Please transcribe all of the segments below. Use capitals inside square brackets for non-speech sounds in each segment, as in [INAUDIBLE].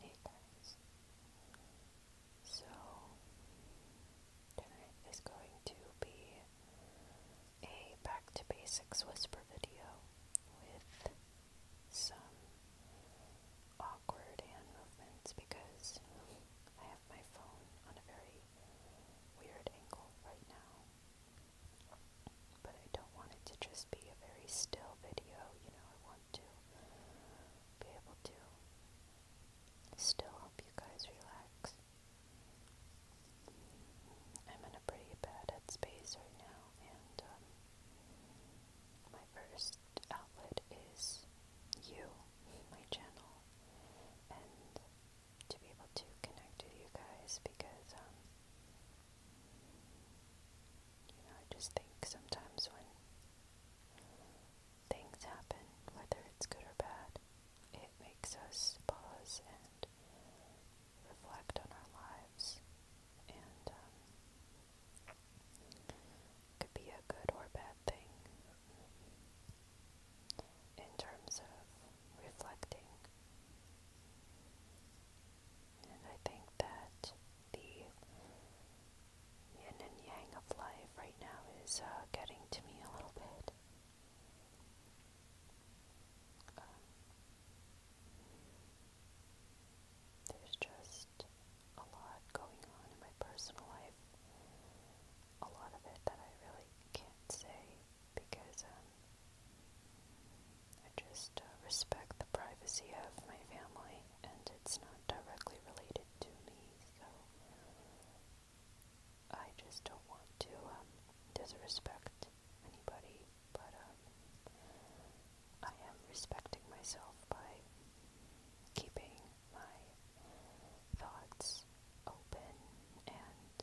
Hey guys. So tonight is going to be a back to basics whisper video with some awkward hand movements because I have my phone on a very weird angle right now. But I don't want it to just be a very still video, you know, I want to be able to still help you guys relax. I'm in a pretty bad space right now, and um, my first outlet is you, my channel, and to be able to connect with you guys because um, you know, I just think sometimes when things happen, whether it's good or bad, it makes us pause and reflect on our lives. And um, it could be a good or bad thing in terms of reflecting. And I think that the yin and yang of life right now is uh, getting to me a little bit. Um, there's just a lot going on in my personal life. A lot of it that I really can't say because um, I just uh, respect the privacy of my family, and it's not directly related to me, so I just don't want to um, disrespect anybody. But um, I am respecting myself by keeping my thoughts open and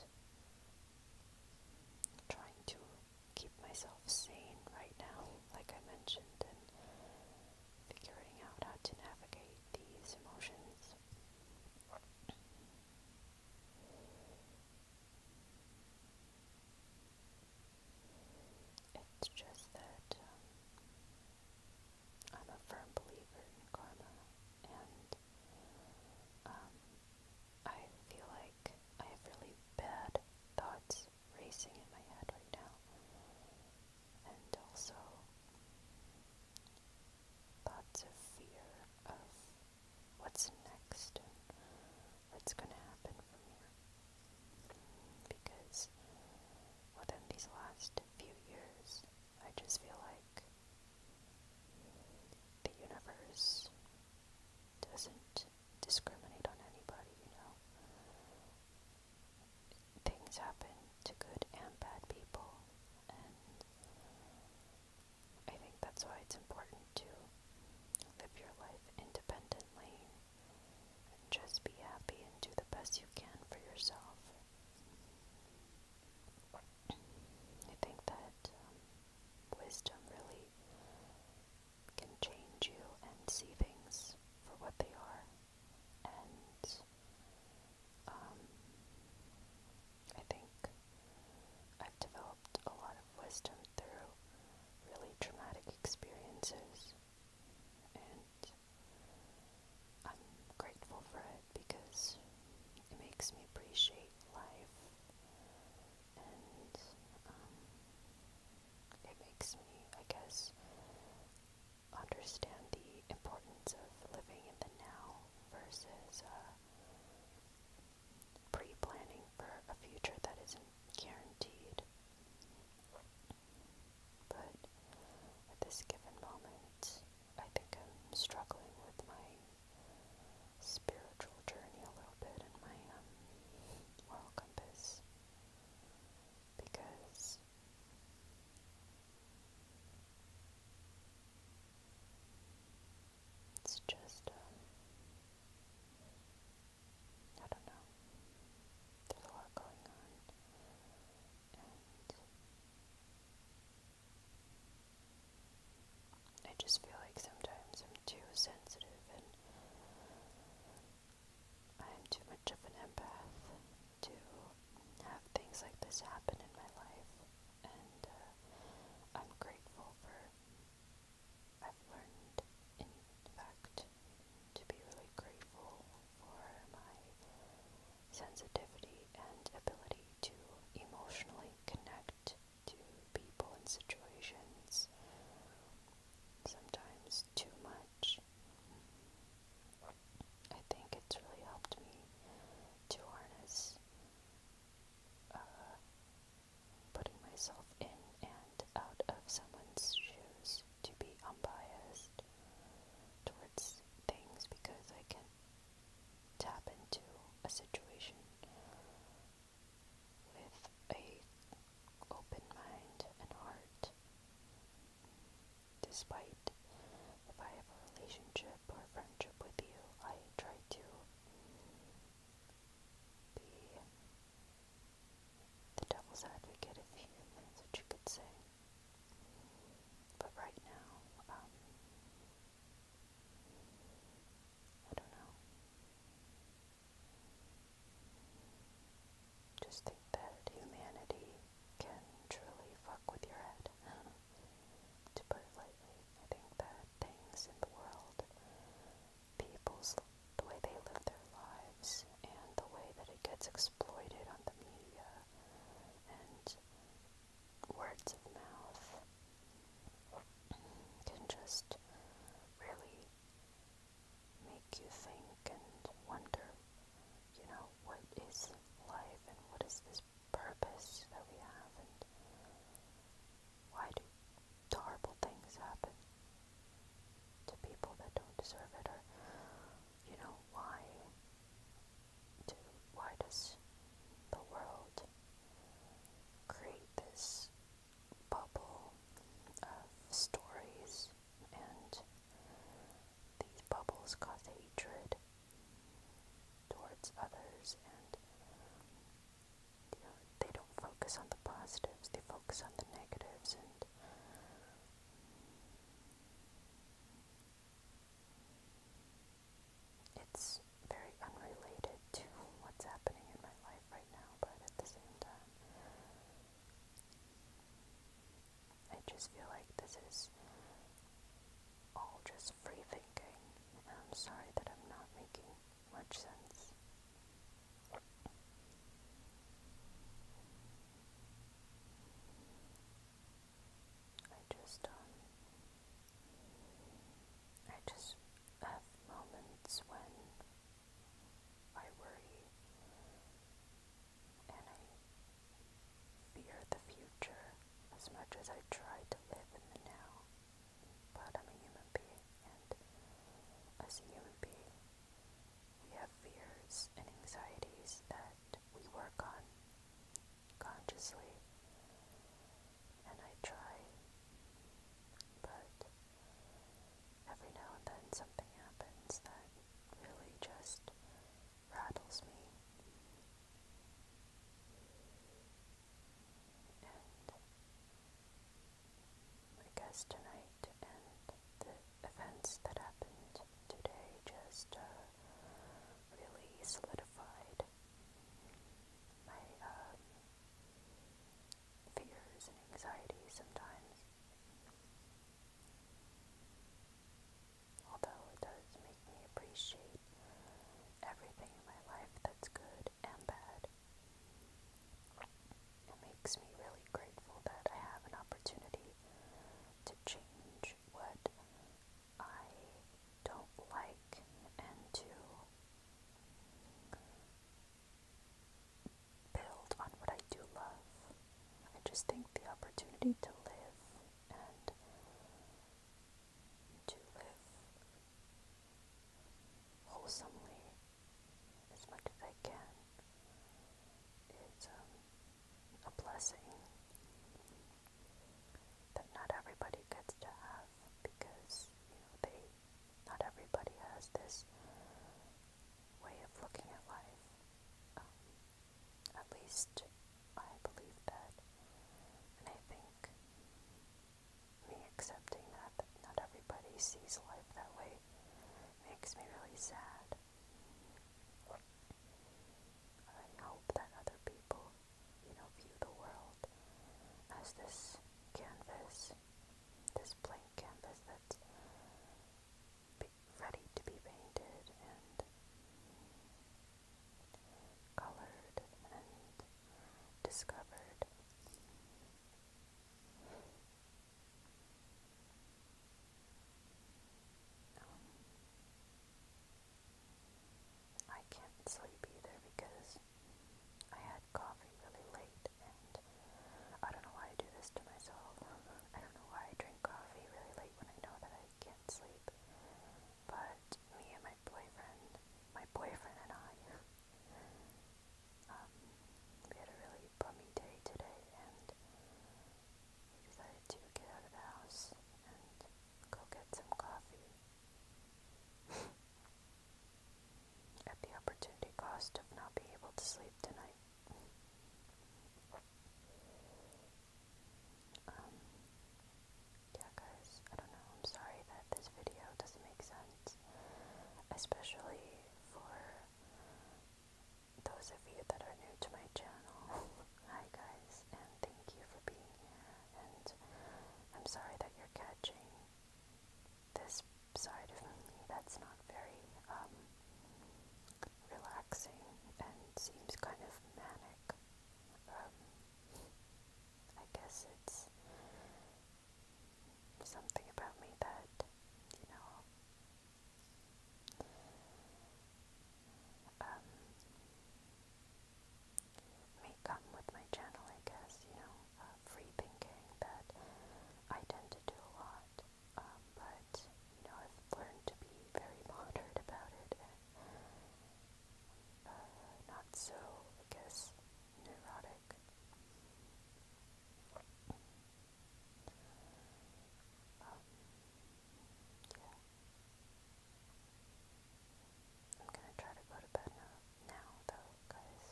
trying to keep myself sane right now, like I mentioned, and figuring out how to navigate these emotions. It's just that um, I'm a firm believer in karma, and um, I feel like I have really bad thoughts racing in my head right now, and also thoughts of fear of what's next and what's going to happen from here. Because within these last few years, I just feel like the universe doesn't discriminate on anybody, you know. Things happen to good and bad people, and I think that's why it's important to live your life independently and just be happy and do the best you can for yourself. I think that um, wisdom really can change you and see things for what they are. And um, I think I've developed a lot of wisdom through really traumatic experiences. And I'm grateful for it because it makes me appreciate life and um, it makes me, I guess, understand the importance of living in the now versus uh, pre-planning for a future that isn't guaranteed. But at this given moment, I think I'm struggling with my spiritual journey a little bit in my um, compass because it's just, um, I don't know, there's a lot going on I just feel like sometimes I'm too sensitive and I'm too much of an empath to have things like this happen in my life, and uh, I'm grateful for. I've learned, in fact, to be really grateful for my sensitivity and ability to emotionally connect to people and situations, sometimes too much. I think it's really helped me to harness uh, putting myself in and out of someone's shoes to be unbiased towards things because I can tap into a situation with a open mind and heart. Despite if I have a relationship or a friendship with you, I try to be the devil's advocate, if you, that's you could say. But right now, um, I don't know. Just think that humanity can truly fuck with your head. [SIGHS] to put it lightly, I think that things in the world, people's, the way they live their lives, and the way that it gets exploited on the media, and words of mouth can just really make you think and wonder, you know, what is life and what is this purpose that we have and why do horrible things happen to people that don't deserve it or you know why do why does the world create this bubble of stories, and these bubbles cause hatred towards others, and you know, they don't focus on the positives, they focus on the negatives, and it's very unrelated to what's happening in my life right now, but at the same time, I just feel like this is all just free thinking, and I'm sorry that I'm not making much sense. I just, um, I just have moments when I worry and I fear the future as much as I try to live in the now. But I'm a human being, and as a human being, we have fears and anxieties that we work on consciously and I try, but every now and then something happens that really just rattles me. And I guess tonight and the events that happened today just uh, really solidified my um, fears and anxieties sometimes. Although it does make me appreciate everything in my life that's good and bad, it makes me really grateful that I have an opportunity to change what I don't like and to build on what I do love. I just think the opportunity to live and to live wholesomely as much as I can is um, a blessing that not everybody gets to have because, you know, they not everybody has this way of looking at life. Um, at least I believe that. And I think me accepting that, that not everybody sees life that way makes me really sad. I hope that other people you know, view the world as this canvas, this blank canvas that's ready to be painted and colored and discovered. Um, I can't sleep either because I had coffee really late and I don't know why I do this to myself. [LAUGHS] I don't know why I drink coffee really late when I know that I can't sleep. But me and my boyfriend, my boyfriend and I, [LAUGHS] um, we had a really bumpy day today and we decided to get out of the house and go get some coffee at the opportunity cost of not being able to sleep tonight. Um, yeah, guys, I don't know. I'm sorry that this video doesn't make sense, especially for those of you that are new to my channel. [LAUGHS] Hi guys, and thank you for being here, and I'm sorry that you're catching this side of me that's not very, um, relaxing and seems kind of manic. Um, I guess it's something about me that, you know, um, come with my channel, I guess, you know, uh, free thinking that I tend to do a lot, um, but, you know, I've learned to be very [LAUGHS] moderate about it and uh, not so, I guess, neurotic. Um, yeah. I'm gonna try to go to bed now, now though, guys.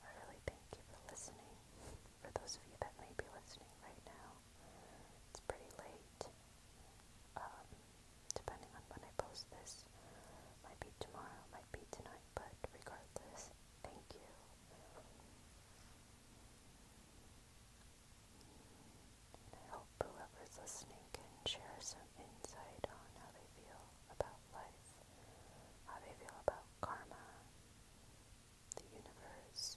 I really thank you for listening. For those of you that may be listening right now, it's pretty late. Um, depending on when I post this, might be tomorrow, might be tonight, but regardless, thank you. I hope whoever's listening can share some insight on how they feel about life, how they feel about karma, the universe,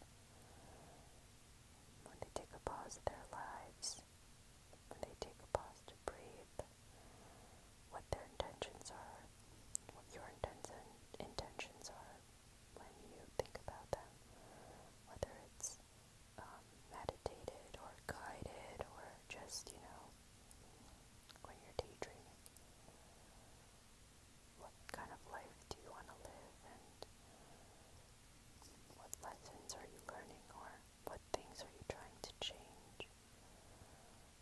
when they take a pause in their lives, when they take a pause to breathe, what their intentions are, what your intention, intentions are when you think about them, whether it's um, meditated or guided or just, you know, when you're daydreaming. What kind of life do you want to live and what lessons are you learning or what things are you trying to change?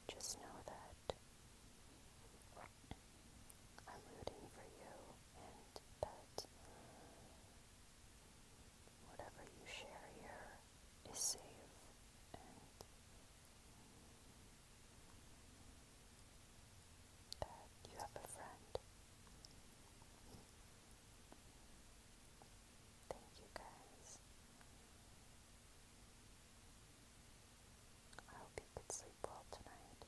Just know that I'm rooting for you and that Whatever you share here is safe that you have a friend. Thank you guys. I hope you could sleep well tonight.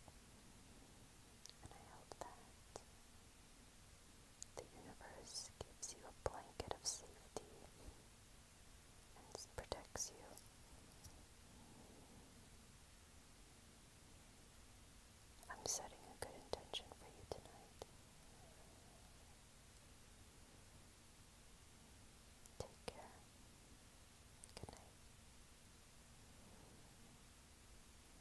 And I hope that the universe gives you a blanket of safety and protects you. I'm setting a good intention for you tonight. Take care. Good night.